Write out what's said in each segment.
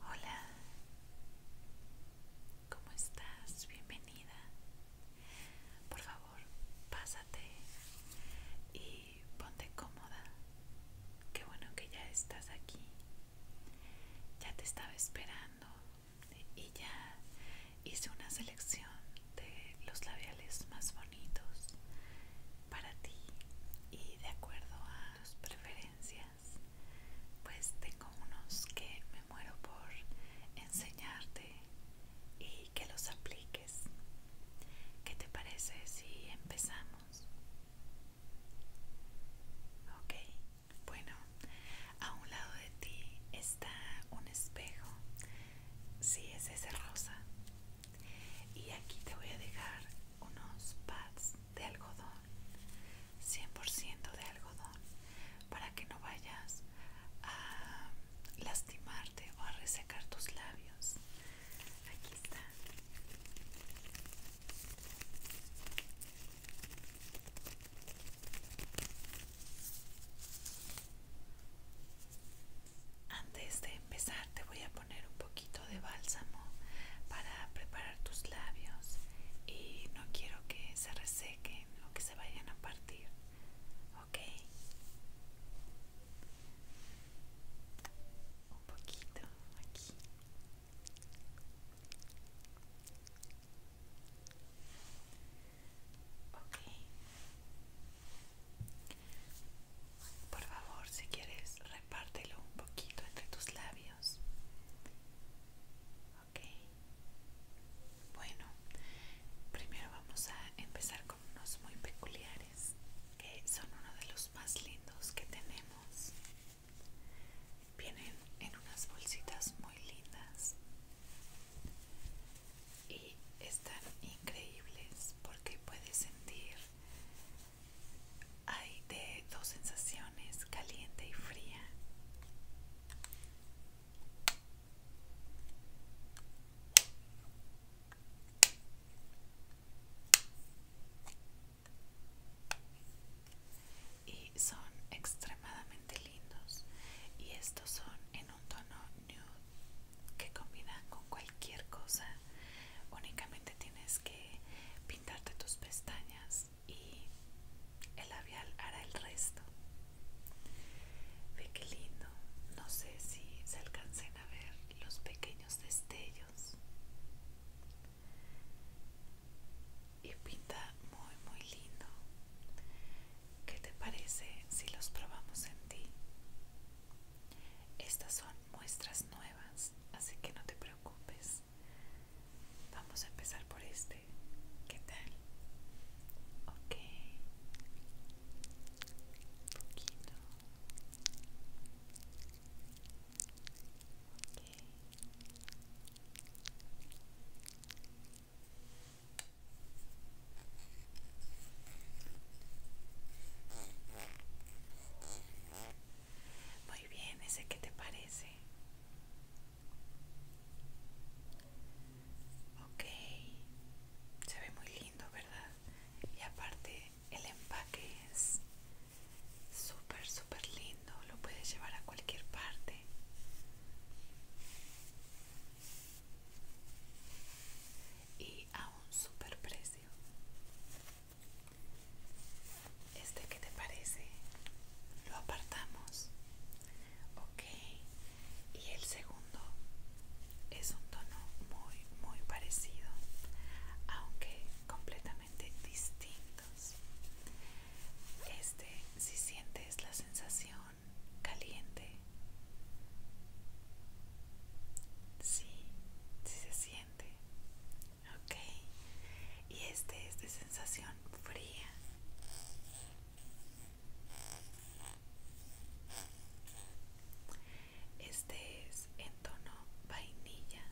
Hola, ¿cómo estás? Bienvenida. Por favor, pásate y ponte cómoda. Qué bueno que ya estás aquí. Ya te estaba esperando y ya hice una selección de los labiales más bonitos para ti y de acuerdo a tus preferencias pues tengo unos que me muero por enseñarte y que los apliques. ¿Qué te parece si empezamos? Ok, bueno, a un lado de ti está un espejo. Sí, es ese rosa y aquí te voy a dejar unos pads de algodón 100% de algodón para que no vayas a lastimarte o a resecar tus labios aquí están. antes de empezar te voy a poner un poquito de bálsamo para preparar tus labios y no quiero que se resequen o que se vayan a partir, ¿ok? Un poquito aquí. Ok. Por favor, si quieres, repártelo un poquito entre tus labios. Ok. Bueno, primero vamos a empezar con unos muy peculiares, que son uno de los más lindos que tenemos. Vienen en unas bolsitas muy lindas. Y están increíbles porque puedes sentir hay de dos sensaciones, caliente y fría. Y son extremadamente lindos. Y estos son en un tono nude que combinan con cualquier cosa únicamente tienes que pintarte tus pestañas y el labial hará el resto ve que lindo no sé si se alcancen a ver los pequeños destellos y pinta muy muy lindo ¿Qué te parece si los probamos en ti? Estas son muestras nuevas, así que no te preocupes. Vamos a empezar por este. ¿Qué tal? Un poquito. Muy bien, ese qué te parece. Ok, se ve muy lindo, ¿verdad? Y aparte el empaque es súper, súper lindo, lo puedes llevar a cualquier parte. Y a un súper precio. ¿Este qué te parece? Lo apartamos. Ok. Y el segundo es un tono muy, muy parecido, aunque completamente distintos. Este, si sientes la sensación caliente, sí, si se siente Ok. Y este es de sensación fría. Este es en tono vainilla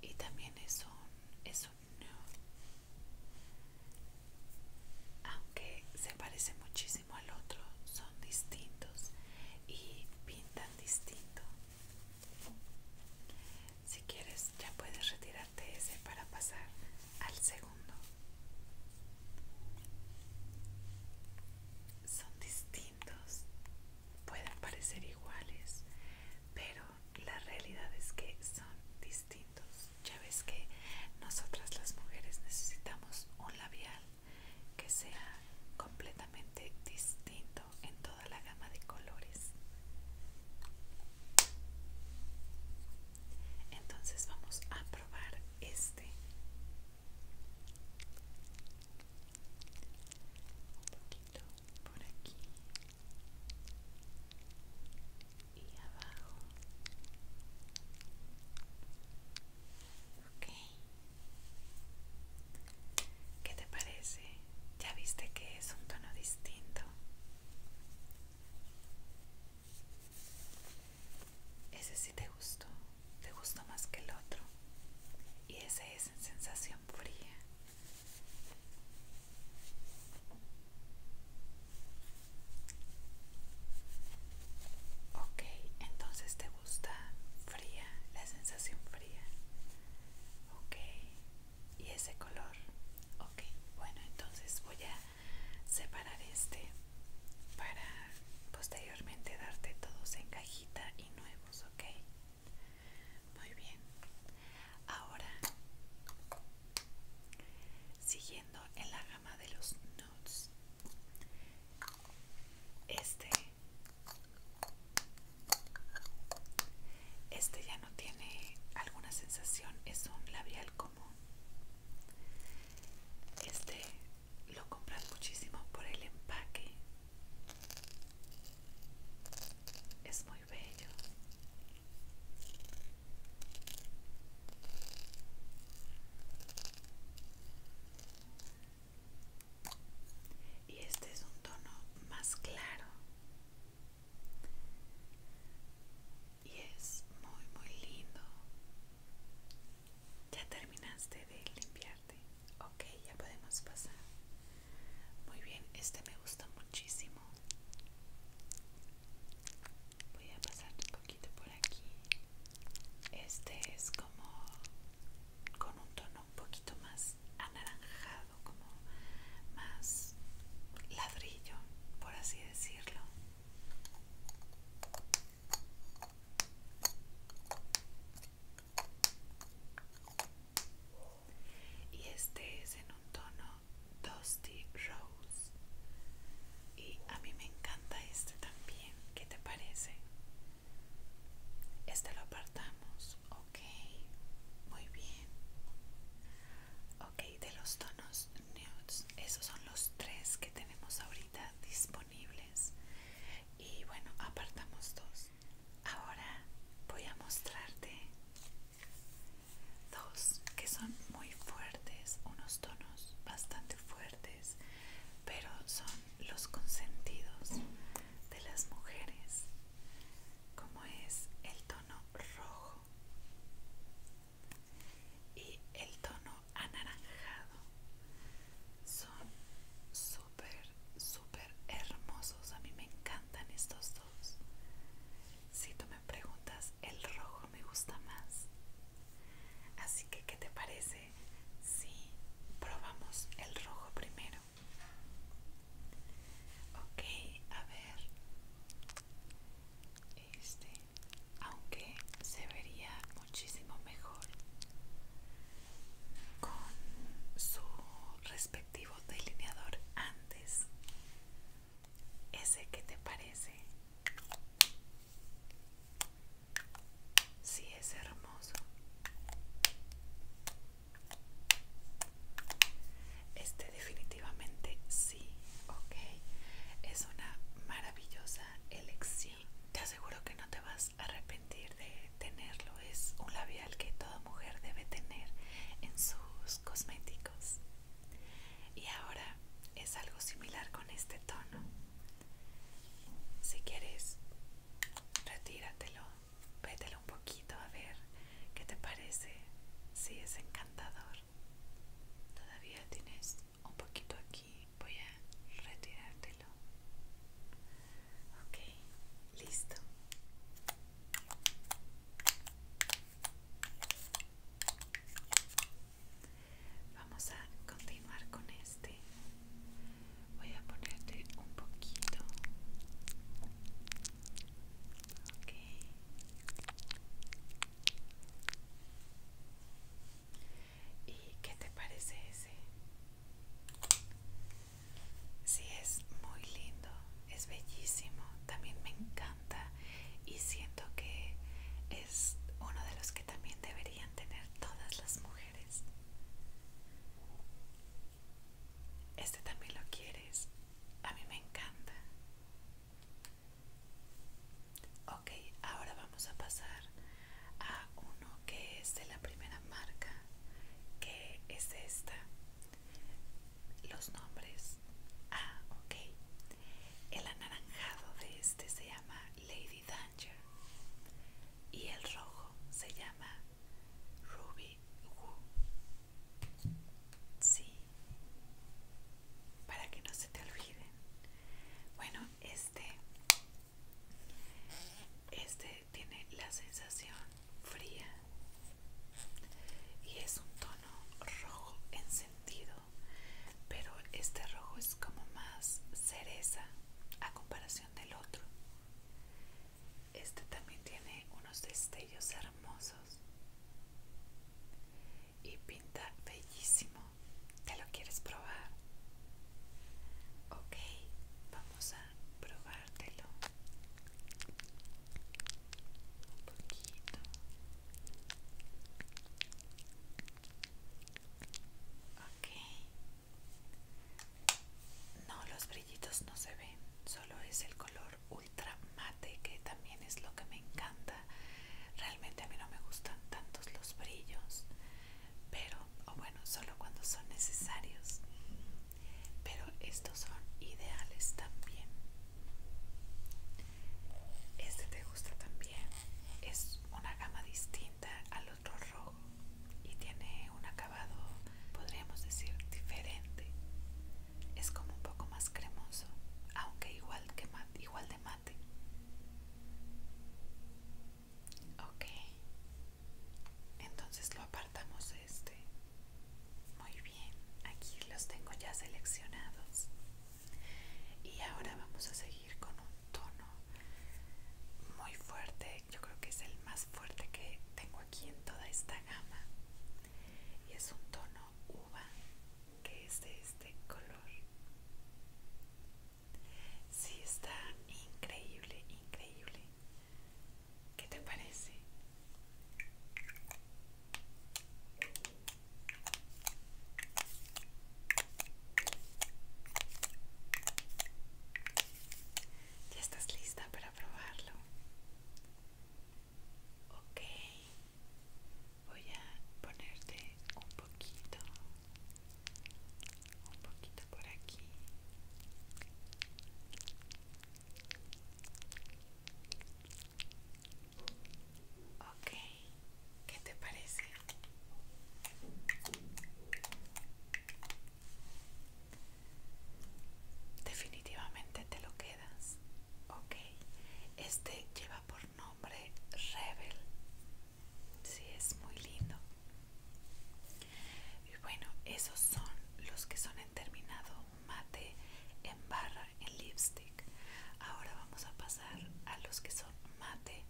y también es un es un Aunque se parece muchísimo al otro, son distintos y pinta distinto. Si quieres, ya puedes retirarte ese para pasar al segundo. Son distintos, pueden parecer iguales, pero la realidad es que son distintos. Ya ves que nosotras las mujeres necesitamos un labial que sea completamente distinto en toda la gama de colores. Entonces vamos a probar este. Un poquito por aquí y abajo. Ok. ¿Qué te parece? Ya viste que es un tono distinto. Ese sí te gustó. Te gustó más que el otro. Y ese es en sensación fría. Ok, entonces te gusta fría, la sensación fría. Ok, y ese color. Ok, bueno, entonces voy a separar este para posteriormente darte todos en cajita y nuevos, ok. Muy bien. Ahora, siguiendo en la gama de los este, este ya no tiene alguna sensación, es un labial común. Este lo compras muchísimo por el empaque. Es muy bello y este es un tono más claro y es muy muy lindo ya terminaste de limpiarte ok ya podemos pasar muy bien este me gusta muchísimo voy a pasar un poquito por aquí este es como con un tono un poquito más anaranjado, como más ladrillo, por así decirlo. Y este es en un tono Dusty Rose. Y a mí me encanta este también. ¿Qué te parece? Este lo apartamos, ok, muy bien. Ok, de los tonos nudes, esos son los tres que tenemos ahorita disponibles. Y bueno, apartamos dos. Ahora voy a mostrarte dos que son muy fuertes, unos tonos bastante fuertes pero son los consentidos de las mujeres, como es el tono rojo y el tono anaranjado. Son súper, súper hermosos. A mí me encantan estos dos. Si tú me preguntas, el rojo me gusta más. Así que, ¿qué te parece si probamos el rojo primero. Ok, a ver. Este, aunque se vería muchísimo mejor con su respectivo delineador antes. ¿Ese que te parece? Sí, es hermoso. Este definitivamente sí, ok. Es una maravillosa elección. Te aseguro que no te vas a arrepentir de tenerlo. Es un labial que toda mujer debe tener en sus cosméticos. Y ahora es algo similar con este tono. Si quieres, retíratelo, vételo un poquito a ver qué te parece. Si es encantador. Todavía tienes un poquito aquí, voy a retirártelo. Ok, listo. Vamos a continuar con este. Voy a ponerte un poquito. Ok. ¿Y qué te parece ese? Sí, es muy lindo, es bellísimo, también me encanta y siento que es uno de los que también deberían tener todas las mujeres. Este también lo quieres. A mí me encanta. Ok, ahora vamos a pasar a uno que es de la primera marca, que es esta. Los nombres. Ah, ok. El anaranjado de este se llama Lady Danger y el rojo se llama Ruby Woo. Sí, para que no se te olvide Bueno, este este tiene la sensación fría y es un tono rojo encendido pero este rojo es como más cereza a comparación del otro. Este también tiene unos destellos hermosos y pinta bellísimo. ¿Te lo quieres probar? Ok, vamos a probártelo un poquito no, los brillitos no se ven. Solo es el color ultra mate que también es lo que me encanta. Realmente a mí no me gustan tantos los brillos. Pero, o bueno, solo cuando son necesarios. Pero estos son ideales también. Este te gusta también es una gama distinta al otro rojo y tiene un acabado, podríamos decir, diferente. Es como un poco más cremoso, aunque igual, que igual de mate. Ok, entonces lo apartamos este. Muy bien, aquí los tengo ya seleccionados y ahora vamos a seguir con un tono muy fuerte yo creo que es el más fuerte que tengo aquí en toda esta gama y es un tono uva que es de este color sí está increíble increíble ¿Qué te parece? ¿Ya estás lista para probarlo? Ok, voy a ponerte un poquito, un poquito por aquí. Ok, ¿qué te parece? Definitivamente te lo quedas. Ok, este lleva por nombre Rebel. Sí, es muy lindo. Y bueno, esos son los que son en terminado mate en barra en lipstick. Ahora vamos a pasar a los que son mate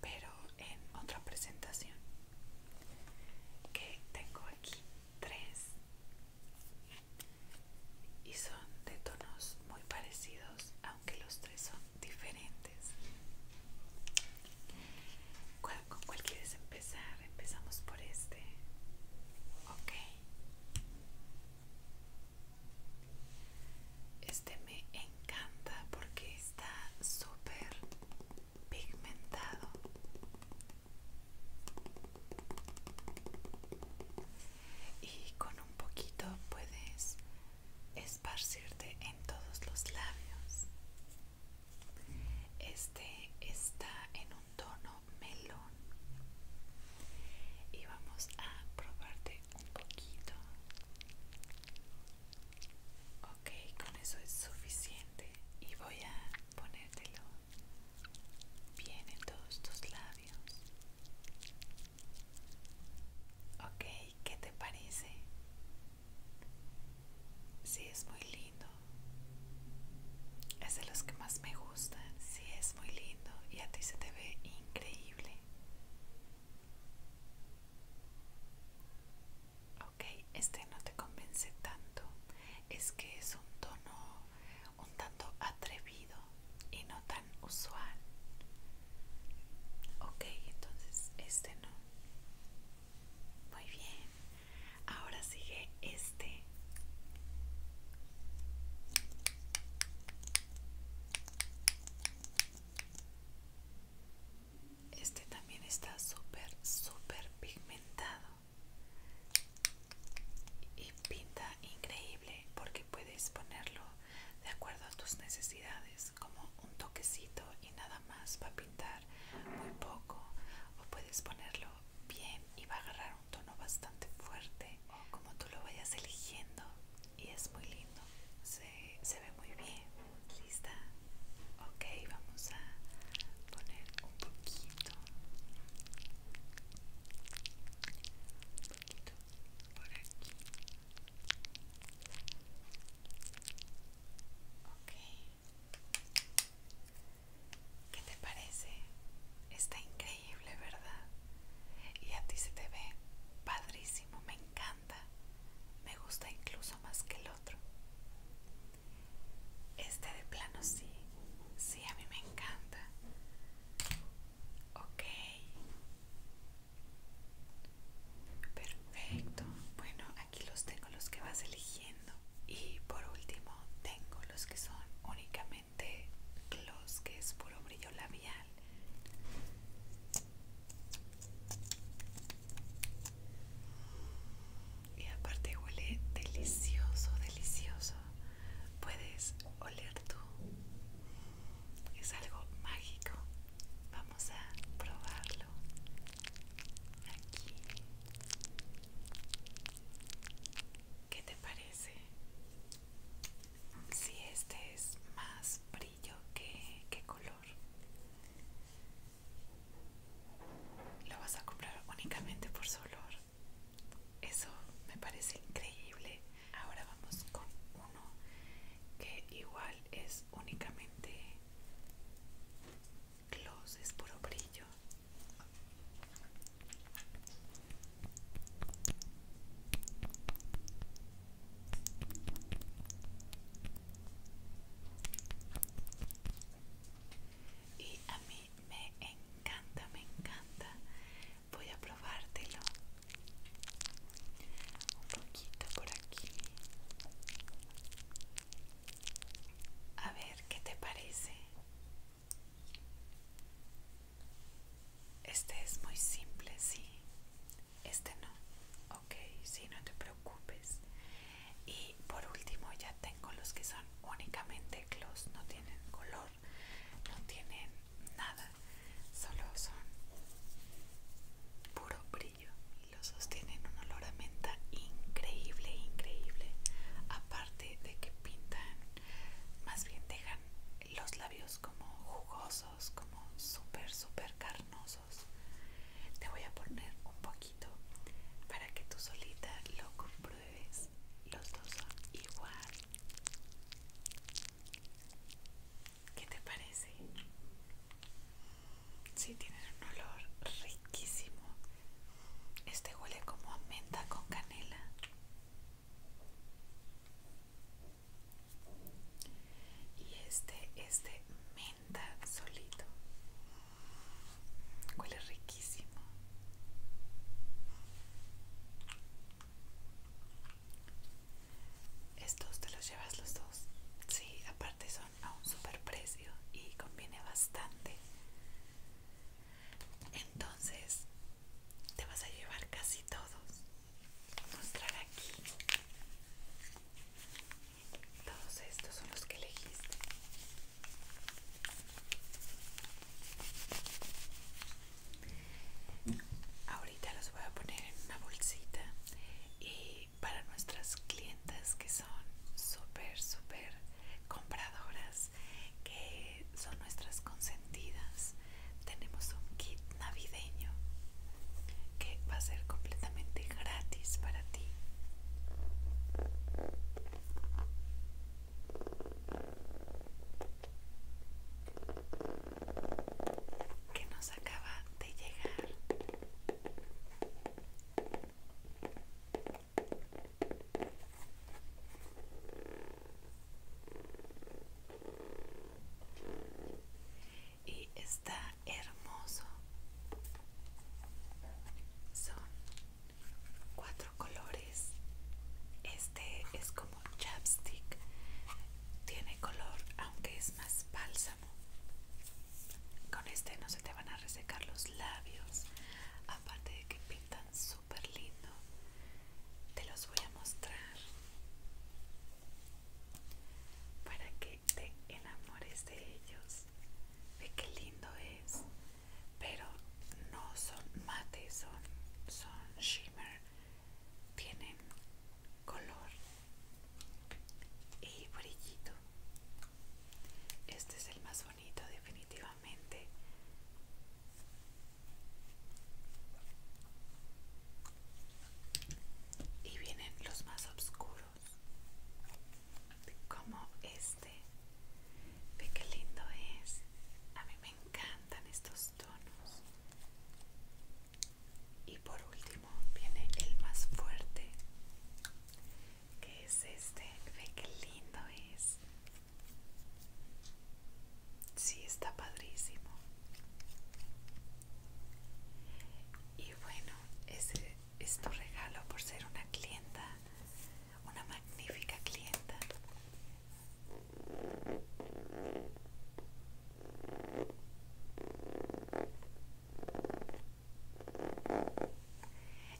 pero en otra presentación que tengo aquí tres y son de tonos muy parecidos aunque los tres son diferentes con cuál quieres empezar empezamos por este ok este me encanta porque está súper pigmentado. Y con un poquito puedes esparcirte en todos los labios. Este está en un tono melón. Y vamos a probarte un poquito. Ok, con eso es suficiente y voy a ponértelo bien en todos tus labios. Ok, ¿qué te parece? Sí, es muy lindo. Es de los que más me gustan. Sí, es muy lindo y a ti se te ve increíble. Ok, este no te convence tanto. Es que es un tono un tanto atrevido y no tan usual. Ok, entonces este no. Muy bien. Ahora sigue este. Este también está súper, súper pigmentado y pinta increíble porque puedes ponerlo de acuerdo a tus necesidades, como un toquecito y nada más va a pintar muy poco, o puedes ponerlo bien y va a agarrar un tono bastante fuerte, o como tú lo vayas eligiendo y es muy lindo se, se ve muy bien lista ok vamos a poner un poquito un poquito por aquí ok ¿Qué te parece? Está increíble increíble, ¿verdad? Y a ti se te ve padrísimo, me encanta. Me gusta incluso más que el otro. Este de plano sí, sí, a mí me encanta. Ok. Perfecto. Bueno, aquí los tengo los que vas eligiendo. Y por último, tengo los que son únicamente de gloss que es puro brillo labial y aparte huele delicioso delicioso puedes oler tú es algo mágico vamos a probarlo aquí ¿Qué te parece? si este es más brillo que, que color lo vas a comprar únicamente por su olor eso me parece increíble ahora vamos con uno que igual es únicamente gloss es puro brillo y a mí me encanta, me encanta. Voy a probártelo. Un poquito por aquí. A ver qué te parece. Este es muy simple, sí. Este no. Ok, sí, no te preocupes. Y por último ya tengo los que son únicamente gloss, no tienen color, no tienen nada, solo son puro brillo. Los sostienen un olor a menta increíble, increíble. Aparte de que pintan, más bien dejan los labios como jugosos, como súper, súper carnosos. Te voy a poner un poquito para que tú solita lo compruebes. Los dos son igual. ¿Qué te parece? Sí, tiene un olor riquísimo. Este huele como a menta con canela. Y este es de menta solito. Huele riquísimo. Estos te los llevas los dos. Sí, aparte son a un super precio y conviene bastante. Entonces te vas a llevar casi todos. Mostrar aquí. Todos estos son los que elegiste. Ahorita los voy a poner en una bolsita y para nuestras clientas que son súper, súper compradoras que son nuestras consentidas tenemos un kit navideño que va a ser completamente gratis para ti que nos acaba de llegar y está hermoso son cuatro colores este es como chapstick tiene color aunque es más bálsamo con este no se te van a resecar los labios aparte de que pintan su lindo te los voy a mostrar para que te enamores de ellos ve qué lindo es pero no son mate son son shimmer tienen color y brillito este es el más bonito definitivamente y vienen los más oscuros como este ve que lindo es a mí me encantan estos tonos y por último viene el más fuerte que es este ve que lindo es Sí, está padrísimo. Y bueno, ese es tu regalo por ser una clienta, una magnífica clienta.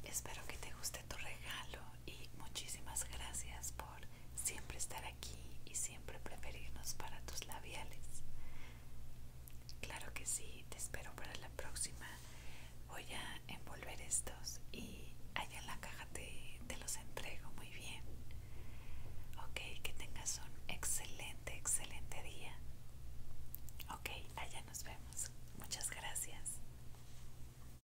Espero que te guste tu regalo y muchísimas gracias por siempre estar aquí y siempre preferirnos para tus labiales. Claro que sí, te espero para la próxima. Voy a envolver estos y allá en la caja te, los entrego muy bien. Ok, que tengas un excelente, excelente día. Ok, allá nos vemos. Muchas gracias.